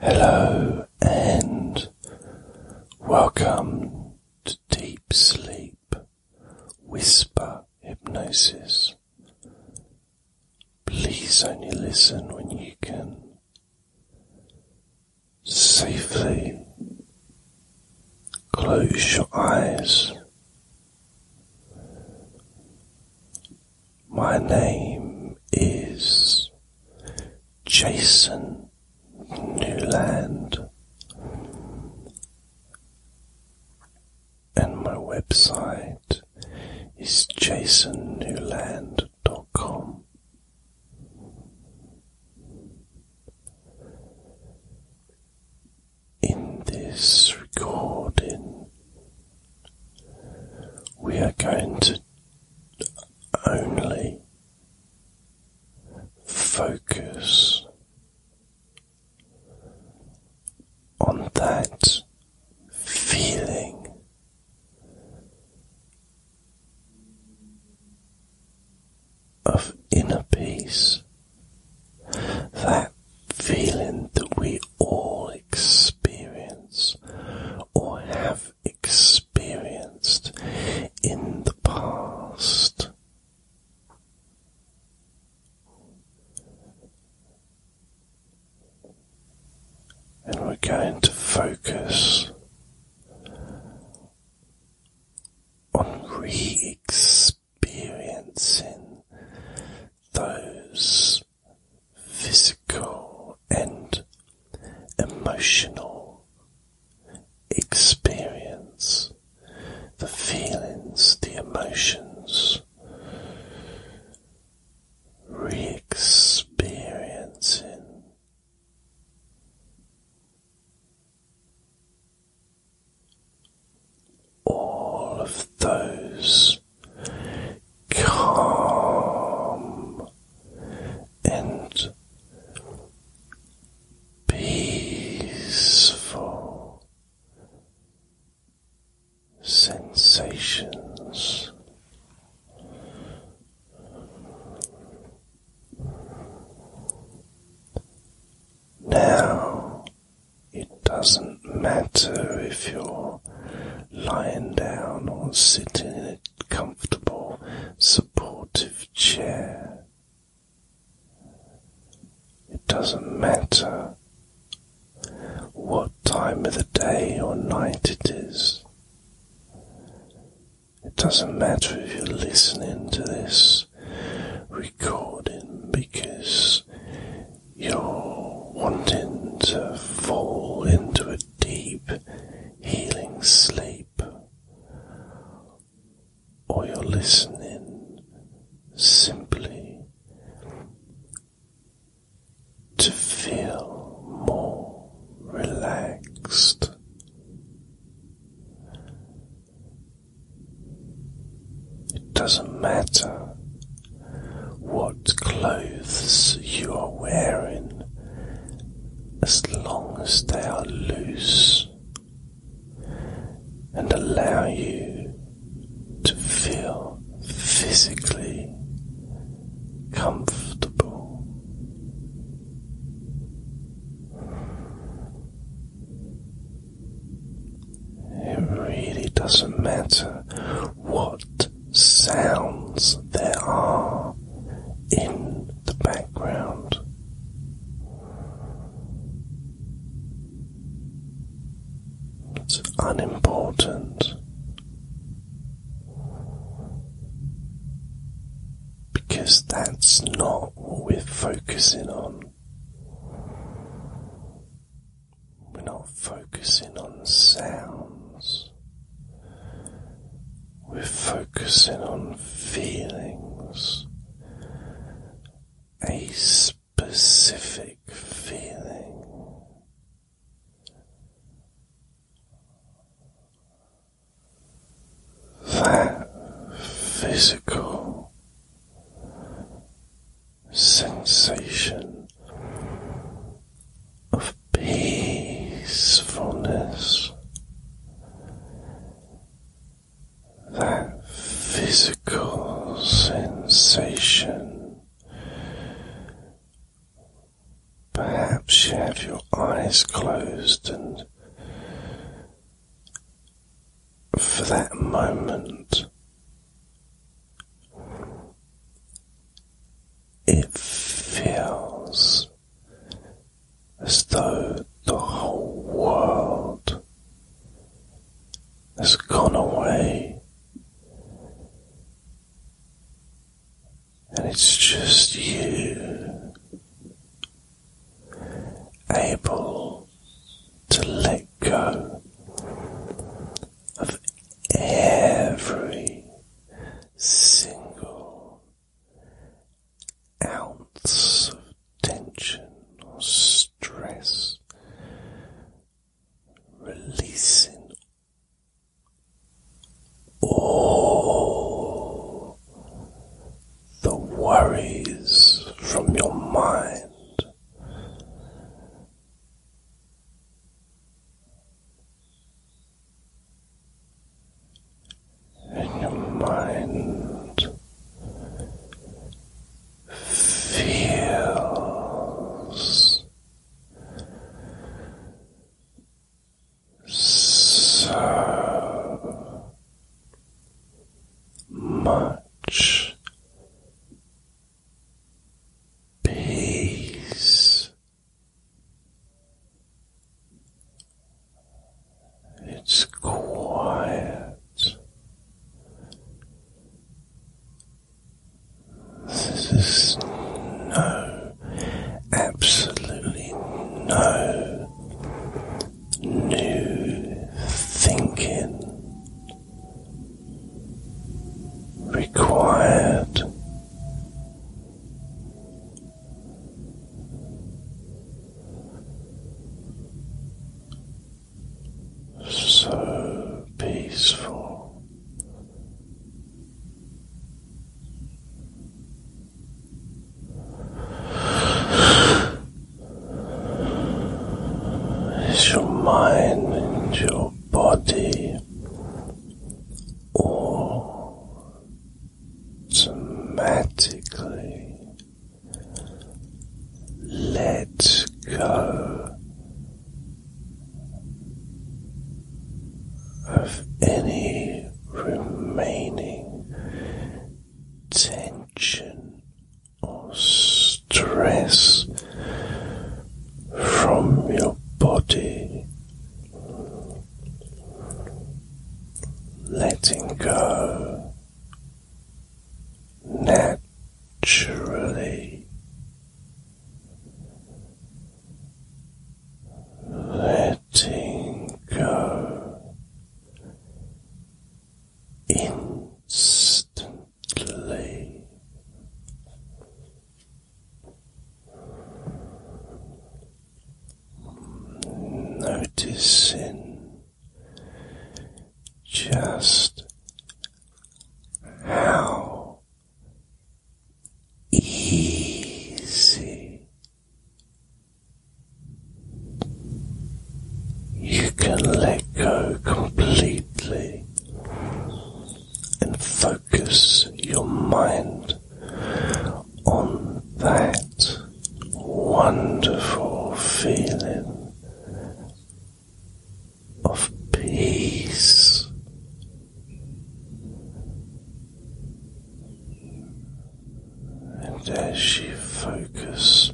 Hello and welcome to Deep Sleep Whisper Hypnosis. Please only listen when you can safely close your eyes. My name is Jason Newland, and my website is jasonnewland.com. In this recording, we are going to only focus on that feeling. Of inner peace, that feeling that we all experience or have experienced in the past. And we're going to focus on re experiencing those physical and emotional experience, the feelings, the emotions, re experiencing. All of those calm and peaceful sensations. Now it doesn't matter if you're lying down or sitting in a comfortable, supportive chair. It doesn't matter what time of the day or night it is. It doesn't matter if you're listening to this recording because you're wanting to fall into a deep, healing sleep, or you're listening simply to feel more relaxed. It doesn't matter what clothes you are wearing as long as they are loose and allow you to feel physically comfortable. It really doesn't matter what sounds there are in the background. It's unimportant because that's not what we're focusing on. We're not focusing on sounds. We're focusing on feelings, a specific feeling. That physical sensation of peacefulness. That physical sensation. Perhaps you have your eyes closed, and for that moment, it feels as though the whole world has gone away, and it's just you able to let go of every single ounce of tension or stress, releasing all the worries from your mind and your mind feels so much peace it's quiet. There's no, absolutely no new thinking required. So peaceful, is your mind and your body automatically let go of any remaining tension or stress from your body, letting go naturally. Letting go instantly, Noticing just how easy you can let go completely and focus your mind on that wonderful feeling of peace. And as you focus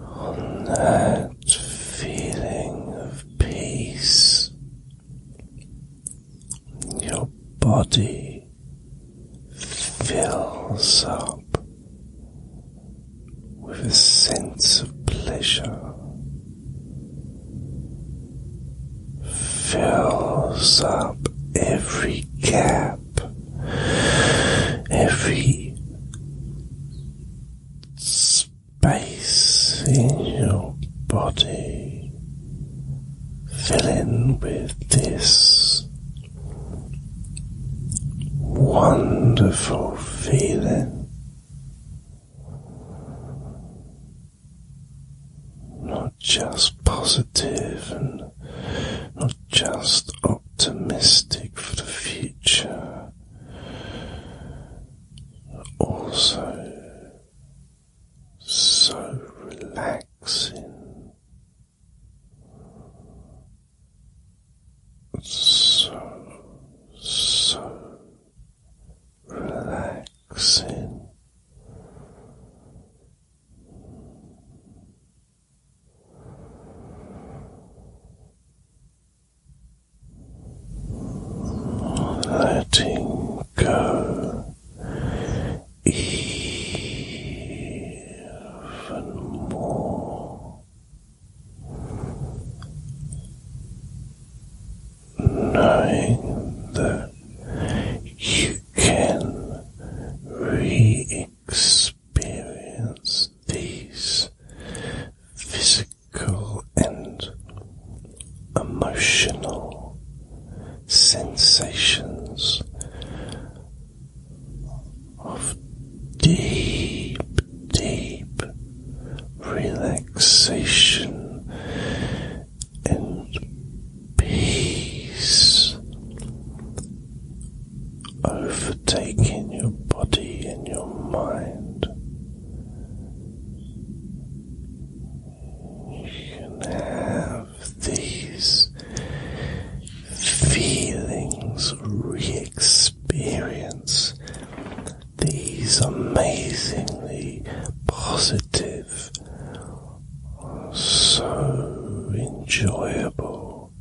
on that feeling of peace. Your body fills up with a sense of pleasure, fills up every gap, every space in your body, filling with this wonderful feeling. Not just positive and not just optimistic for the future, also so relaxing, so, so relaxing letting go even more, knowing that you can re experience these physical physical and emotional sensations of deep, deep relaxation and peace overtaking your body and your mind. You can have these feelings re experience these amazingly positive, so enjoyable.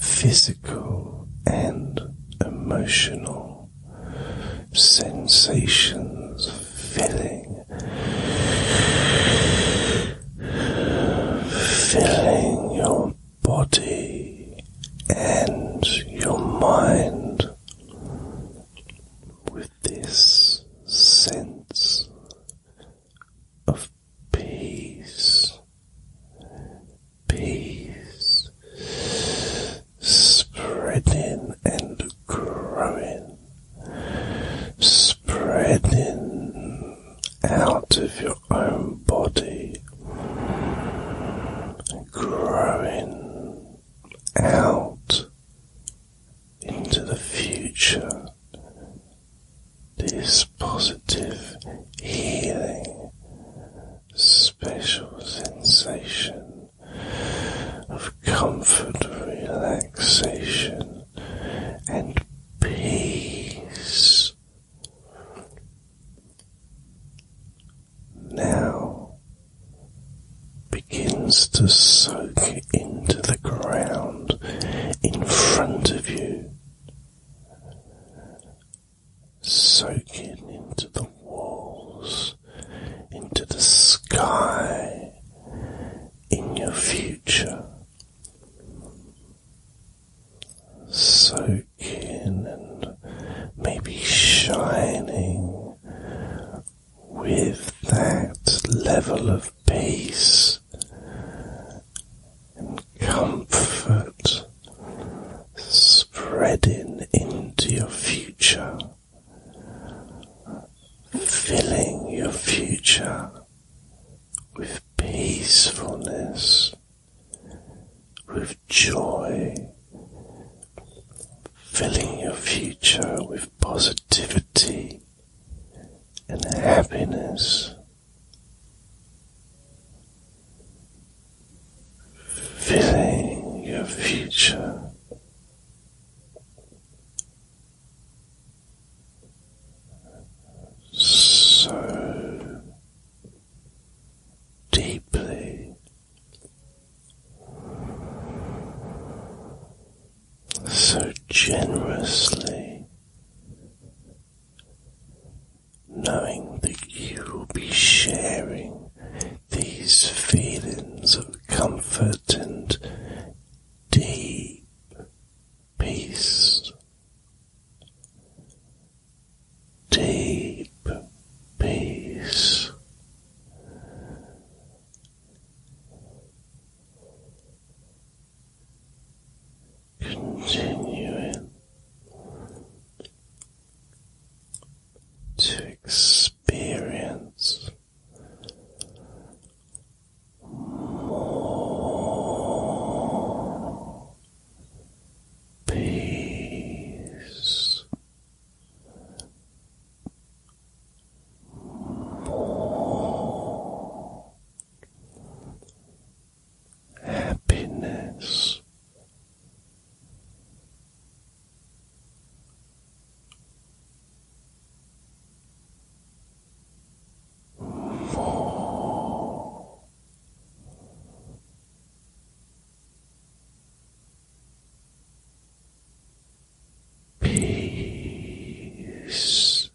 Physical physical and emotional sensations filling, filling your body and your mind with this sense of peace peace spreading and growing, spreading out of your own body, growing out into the future. This positive healing special sensation of comfort, relaxation, and peace. Now begins to soak into the ground in front of you soaking into the walls, into the sky, in your future. Soaking and maybe shining with that level of peace and comfort spreading into your future, filling your future with peacefulness, with joy, filling your future with positivity and happiness. Feeling your future. So deeply so generously knowing that you will be sharing these feelings of comfort and deep peace. Deep peace. Continuing to experience more peace, happiness. More peace.